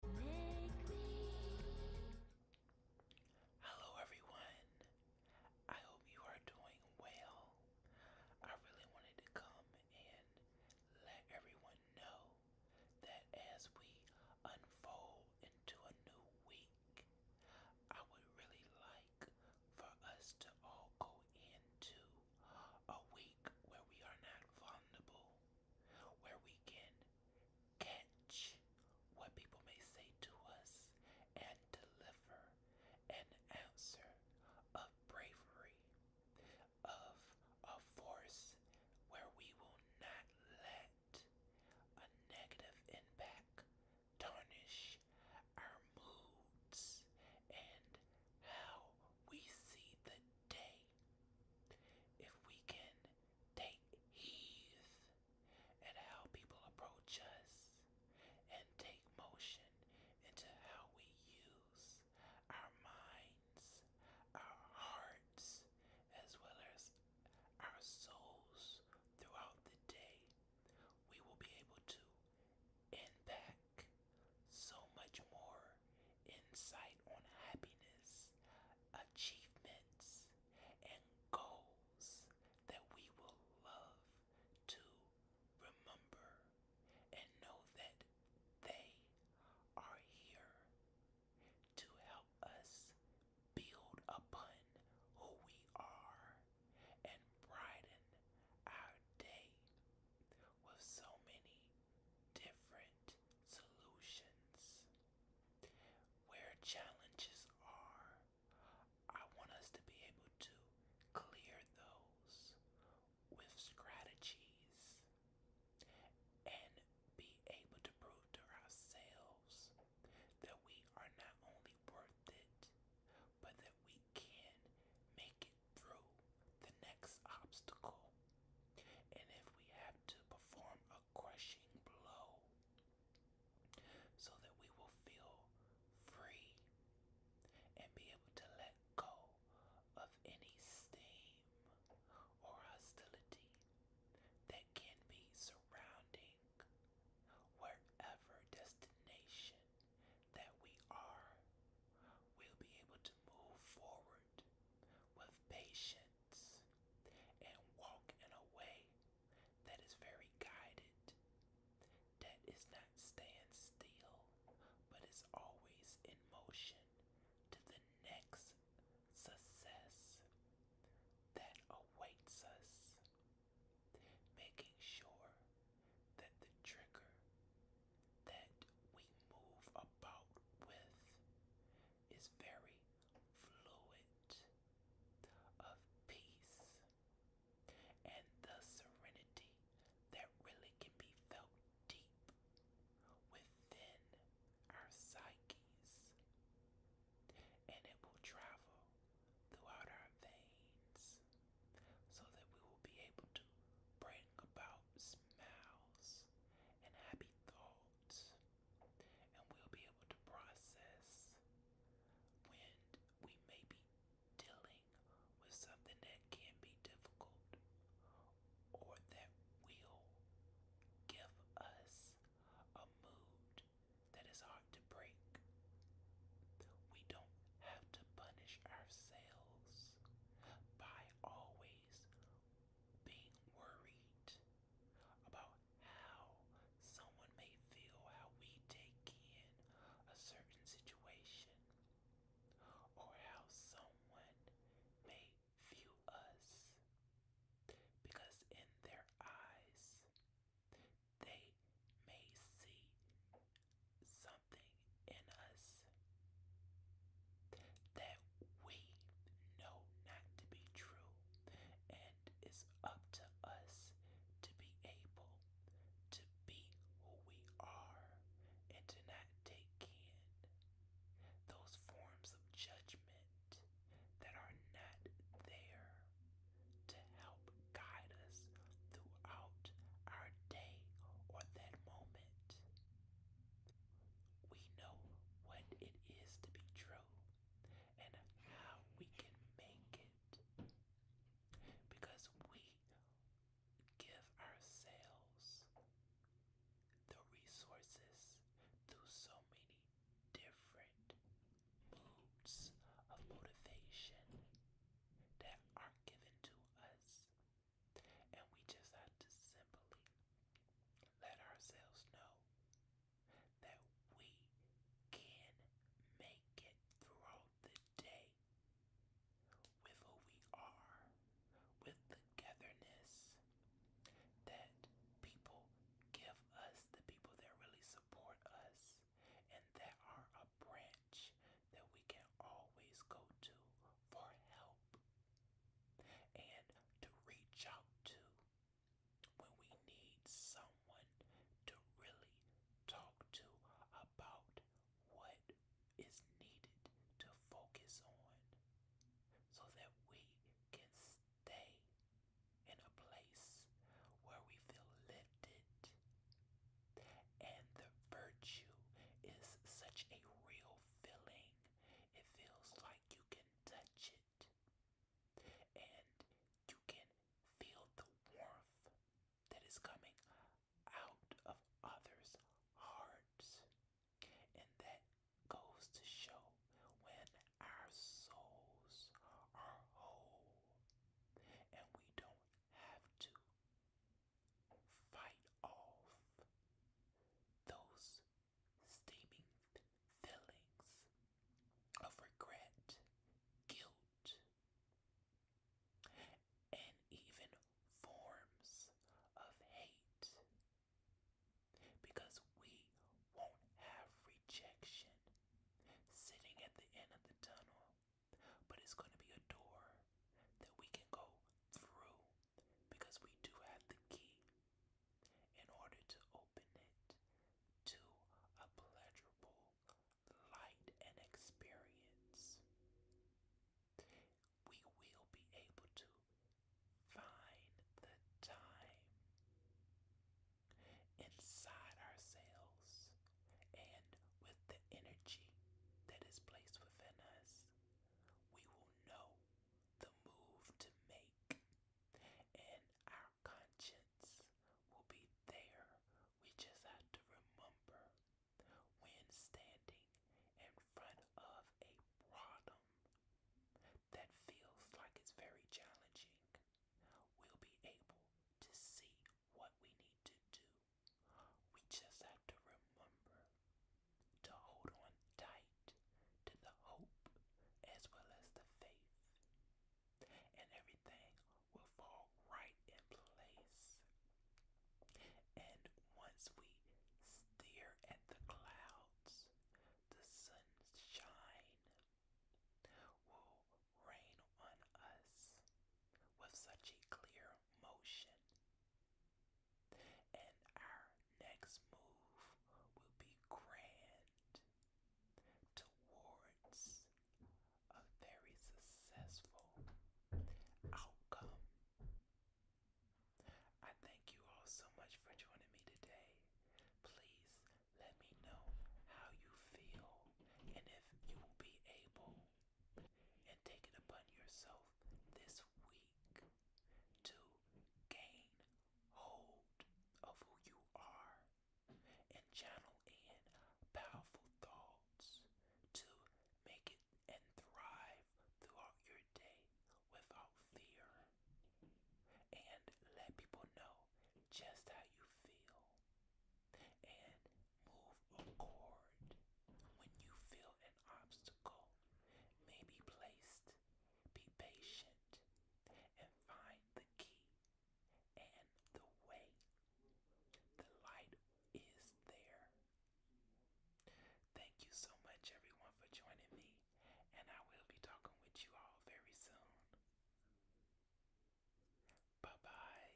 Hello, everyone. I hope you are doing well. I really wanted to come and let everyone know that as we unfold into a new week, I would really like for us to all go into a week where we are not vulnerable, where we can Catch what people may say to us and deliver an answer of bravery, of a force where we will not let a negative impact tarnish our moods and how we see the day. If we can take heed at how people approach us and take motion into how we use our minds, our hearts, as well as our souls throughout the day. We will be able to impact so much more insight on happiness, achievements, and goals that we will love to remember and know that they are here to help us build upon who we are and brighten our day with so many different solutions. Where challenges are, I want us to be able to clear those with strategies and be able to prove to ourselves that we are not only worth it, but that we can make it through the next obstacle and if we have to perform a crushing blow so that we will feel free and be able to let go of any steam or hostility that can be surrounding wherever destination that we are, we'll be able to move forward with patience and walk in a way that is very guided, that is not stand still, but is always in motion to the next success that awaits us, making sure that the trigger that we move about with is very fluid of peace and the serenity that really can be felt deep within our psyches and it will travel throughout our veins so that we will be able to bring about smiles and happy thoughts, and we'll be able to process when we may be dealing with something that can be difficult or that will give us a mood that is hard to break. We don't have to punish ourselves by always being worried about how someone may feel, how we take in a certain situation, or how someone may view us. Because in their eyes, they may see something in us that we know not to be true, and it's up to us to be able to be who we are and to not take in those forms of judgment that are not there to help guide us throughout our day or that moment we know what it is to be true and how we can make it because we give ourselves the resources through so many different moods of motivation that are given to us and we just have to simply let ourselves know that we can make it throughout the day with who we are, with togetherness that people give us, the people that really support us, and that are a branch that we can always go to for help and to reach out to when we need someone to really talk to about what is needed to focus on so that we can stay in a place where we feel lifted. And the virtue is such a real feeling. It feels like you can touch it and you can feel the warmth that is coming out of others' hearts. And that goes to show when our souls are whole and we don't have to fight off those steaming feelings of regret, guilt, and even forms of hate because we won't have rejection sitting at the end of the tunnel, but it's going to be a door that we can go through because we do have the key in order to open it to a pleasurable light and experience. We will be able to find the time inside ourselves and with the energy that is placed within us we will know the move to make, and our conscience will be there. We just have to remember when standing in front of a problem that feels like it's very challenging, we'll be able to see what we need to do we just have to remember to hold on tight to the hope as well as the faith, and everything will fall right in place. And once we stare at the clouds, the sunshine will rain on us with such a clear motion and our next move will be grand towards a very successful outcome. I thank you all so much for joining me today. Please let me know how you feel and if you will be able and take it upon yourself this week to gain hold of who you are and channel in powerful thoughts to make it and thrive throughout your day without fear. And let people know just how you feel. And move accord when you feel obstacle may be placed. Be patient and find the key and the way. The light is there. Thank you so much, everyone, for joining me, and I will be talking with you all very soon. Bye bye.